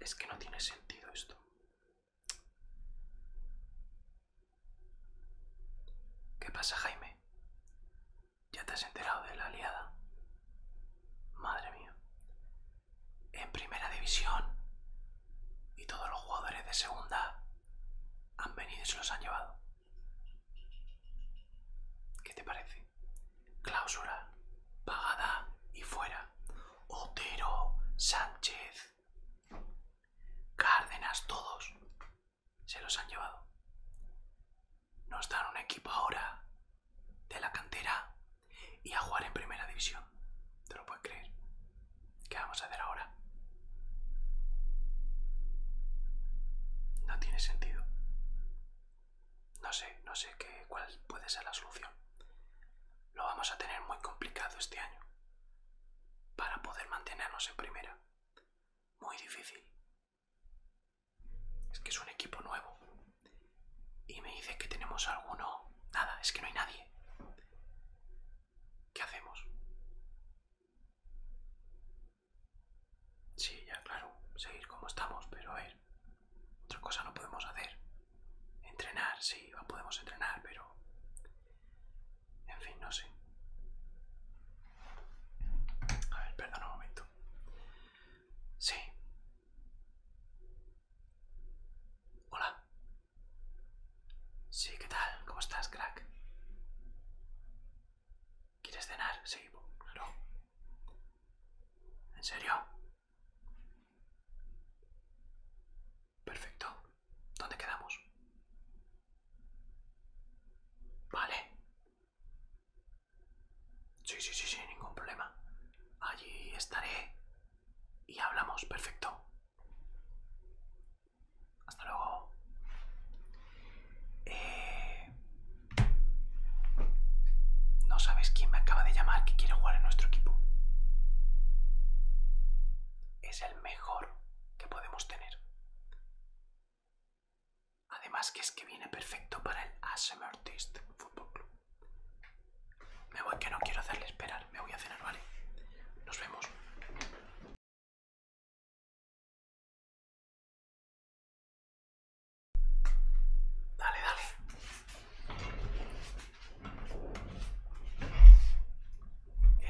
Es que no tiene sentido esto. ¿Qué pasa, Jaime? ¿Ya te has enterado de la aliada? Madre mía. En primera división y todos los jugadores de segunda han venido y se los han llevado. ¿Qué te parece? Clausura, pagada y fuera. Otero, Sánchez, Cárdenas, todos se los han llevado. Nos dan un equipo ahora de la cantera y a jugar en primera división. ¿Te lo puedes creer? ¿Qué vamos a hacer ahora? No tiene sentido. No sé, no sé cuál puede ser la solución. Lo vamos a tener muy complicado este año. Para poder mantenernos en primera. Muy difícil. Es que es un equipo nuevo. Y me dice que tenemos alguno... Nada, es que no hay nadie. ¿Qué hacemos? Sí, ya claro, seguir como estamos, pero a ver, otra cosa no podemos hacer. Entrenar, sí, podemos entrenar, pero... En fin, no sé. A ver, perdona un momento. Sí. Hola. Sí, ¿qué tal? ¿Cómo estás, crack? ¿Quieres cenar? Sí, claro. ¿En serio? Perfecto. ¿Dónde quedamos? Vale. Sí, sí, sí, sí, ningún problema. Allí estaré y hablamos, perfecto. Hasta luego. Eh, no sabes quién me acaba de llamar que quiere jugar en nuestro equipo. Es el mejor que podemos tener. Además que es que viene perfecto para el ASMR Football Club. Me voy que no quiero hacerle esperar me voy a cenar, ¿vale? Nos vemos. Dale, dale.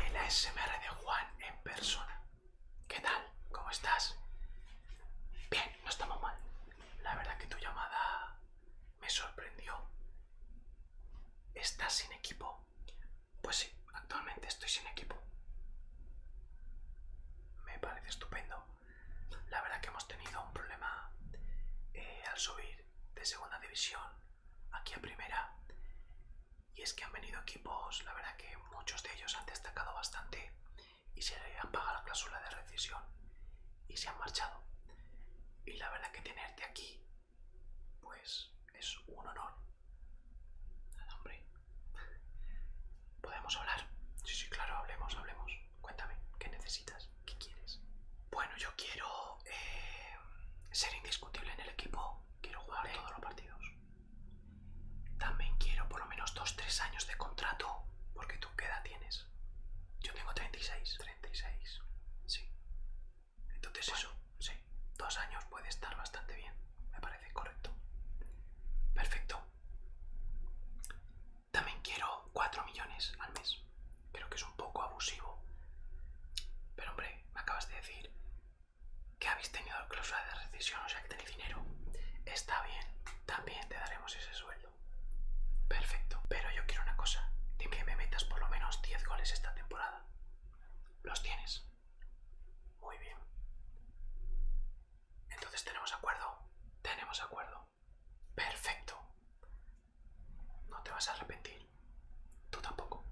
El ASMR de Juan en persona. ¿Qué tal? ¿Cómo estás? Bien, no estamos mal. La verdad que tu llamada me sorprendió. ¿Estás sin equipo? Pues sí, actualmente estoy sin equipo. Me parece estupendo. La verdad que hemos tenido un problema eh, al subir de segunda división aquí a primera. Y es que han venido equipos, la verdad que muchos de ellos han destacado bastante y se han pagado la cláusula de rescisión y se han marchado. Y la verdad que tenerte aquí pues es un honor. hombre. ¿Podemos hablar? Sí, sí, claro, hablemos, hablemos. Cuéntame, ¿qué necesitas? ¿Qué quieres? Bueno, yo quiero eh, ser indiscutible en el equipo. Quiero jugar todos los partidos. También quiero por lo menos 2-3 años de contrato. Porque tú, ¿qué edad tienes? Yo tengo 36. 36. Sí. Entonces eso, sí, dos años puede estar bastante bien, me parece correcto. Perfecto. También quiero 4 millones al mes. Creo que es un poco abusivo. Pero hombre, me acabas de decir que habéis tenido clausura de rescisión, o sea que tenéis dinero. Está bien, también te daremos ese sueldo. Perfecto, pero yo quiero una cosa, de que me metas por lo menos 10 goles esta temporada. Los tienes. Muy bien. Entonces tenemos acuerdo. Tenemos acuerdo. Perfecto. No te vas a arrepentir. Tú tampoco.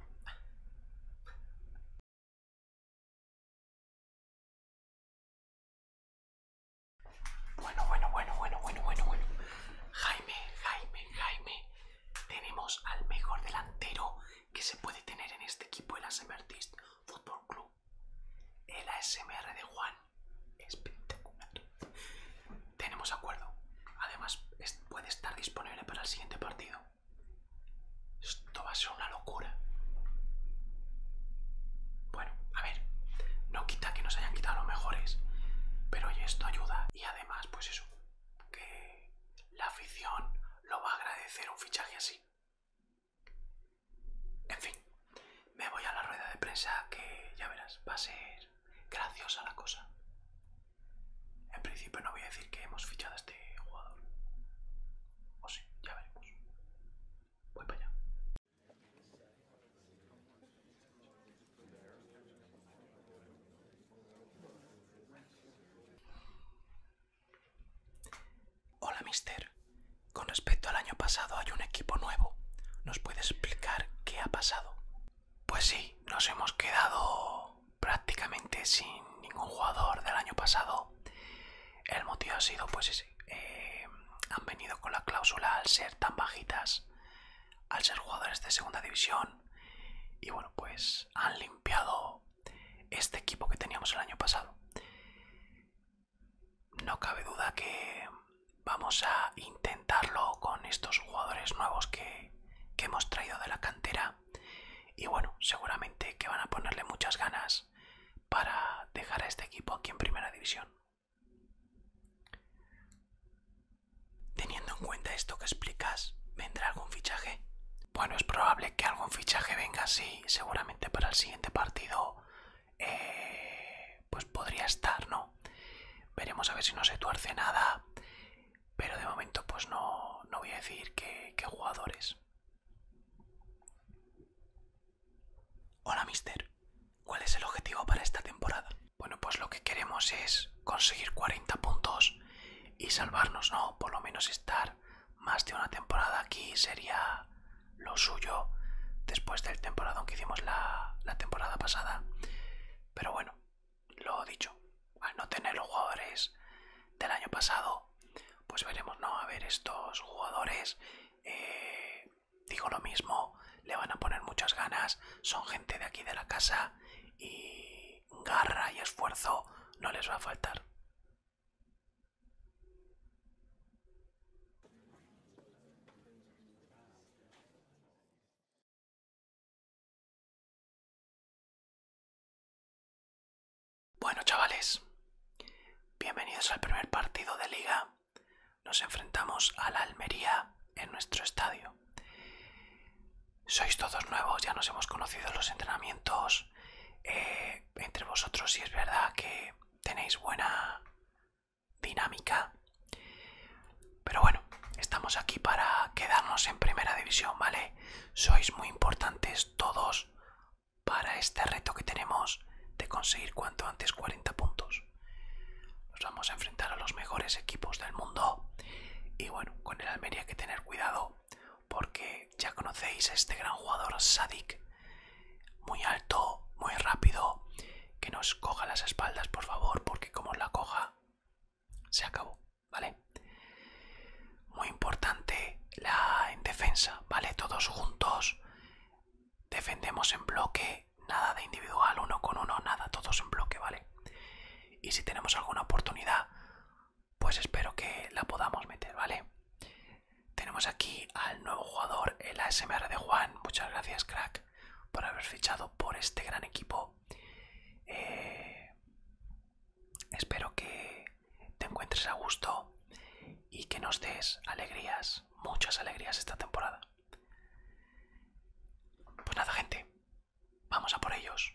Bueno, bueno, bueno, bueno, bueno, bueno, bueno. Jaime, Jaime, Jaime. Tenemos al mejor delantero que se puede tener en este equipo el ASMRtist Football Club. El ASMR de Juan. Espectacular. Tenemos acuerdo. Además, puede estar disponible para el siguiente partido. Esto va a ser una locura. Bueno, a ver. No quita que nos hayan quitado los mejores. Pero oye, esto ayuda. Y además, pues eso. Que la afición lo va a agradecer un fichaje así. En fin, me voy a la rueda de prensa que ya verás, va a ser graciosa la cosa. En principio no voy a decir que hemos fichado a este jugador. O sí, ya veremos. Voy para allá. Hola, mister. Con respecto al año pasado hay un equipo nuevo. ¿Nos puede explicar qué ha pasado? Pues sí, nos hemos quedado prácticamente sin ningún jugador del año pasado. El motivo ha sido, pues, eh, han venido con la cláusula al ser tan bajitas, al ser jugadores de segunda división, y bueno, pues han limpiado este equipo que teníamos el año pasado. No cabe duda que vamos a intentarlo con estos jugadores nuevos que, hemos traído de la cantera y bueno, seguramente que van a ponerle muchas ganas para dejar a este equipo aquí en primera división. Teniendo en cuenta esto que explicas, ¿vendrá algún fichaje? Bueno, es probable que algún fichaje venga así, seguramente para el siguiente partido, eh, pues podría estar, ¿no? Veremos a ver si no se tuerce nada, pero de momento pues no, no voy a decir qué jugadores. Hola, mister. ¿Cuál es el objetivo para esta temporada? Bueno, pues lo que queremos es conseguir 40 puntos y salvarnos no, por lo menos estar más de una temporada aquí sería lo suyo después del temporado que hicimos la, temporada pasada. Pero bueno, lo dicho, al no tener los jugadores del año pasado, pues veremos, ¿no? A ver, estos jugadores, eh, digo lo mismo, le van a poner muchas ganas, son gente de aquí de la casa y garra y esfuerzo no les va a faltar. Bueno chavales, bienvenidos al primer partido de liga. Nos enfrentamos a la Almería en nuestro estadio sois todos nuevos, ya nos hemos conocido en los entrenamientos. Eh, entre vosotros, y sí es verdad que tenéis buena dinámica. Pero bueno, estamos aquí para quedarnos en primera división, ¿vale? Sois muy importantes todos para este reto que tenemos de conseguir cuanto antes 40 puntos. Nos vamos a enfrentar a los mejores equipos del mundo. Y bueno, con el Almería hay que tener cuidado porque ya conocéis a este gran jugador Sadik, muy alto, muy rápido, que nos coja las espaldas por favor, porque como la coja, se acabó, ¿vale? Muy importante la en defensa, ¿vale? Todos juntos, defendemos en bloque, nada de individual, uno con uno, nada, todos en bloque, ¿vale? Y si tenemos alguna oportunidad, pues espero que la podamos meter, ¿vale? Tenemos aquí al nuevo jugador, el ASMR de Juan. Muchas gracias, crack, por haber fichado por este gran equipo. Eh, espero que te encuentres a gusto y que nos des alegrías, muchas alegrías esta temporada. Pues nada, gente, vamos a por ellos.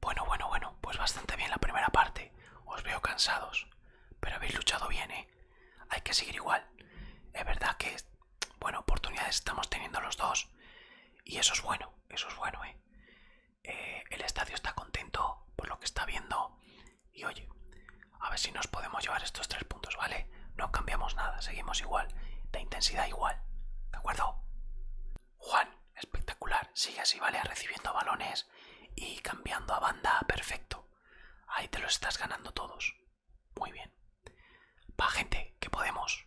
Bueno, bueno, bueno, pues bastante bien la primera parte. Os veo cansados, pero habéis luchado bien, ¿eh? Hay que seguir igual. Es verdad que, bueno, oportunidades estamos teniendo los dos. Y eso es bueno, eso es bueno, ¿eh? Eh, el estadio está contento por lo que está viendo y oye, a ver si nos podemos llevar estos tres puntos, ¿vale? No cambiamos nada, seguimos igual, de intensidad igual, ¿de acuerdo? Juan, espectacular, sigue así, ¿vale? Recibiendo balones y cambiando a banda, perfecto. Ahí te los estás ganando todos. Muy bien. Va, gente, que podemos.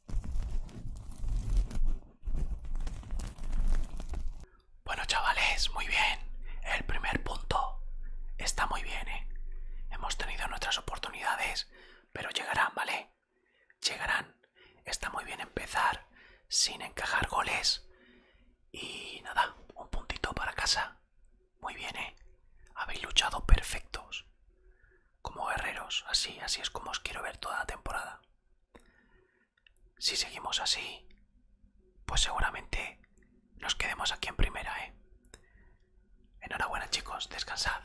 Bueno chavales, muy bien. El primer punto está muy bien, ¿eh? Hemos tenido nuestras oportunidades, pero llegarán, ¿vale? Llegarán. Está muy bien empezar sin encajar goles. Y nada, un puntito para casa. Muy bien, ¿eh? Habéis luchado perfectos como guerreros, así, así es como os quiero ver toda la temporada. Si seguimos así, pues seguramente nos quedemos aquí en primera, ¿eh? Enhorabuena chicos, descansad.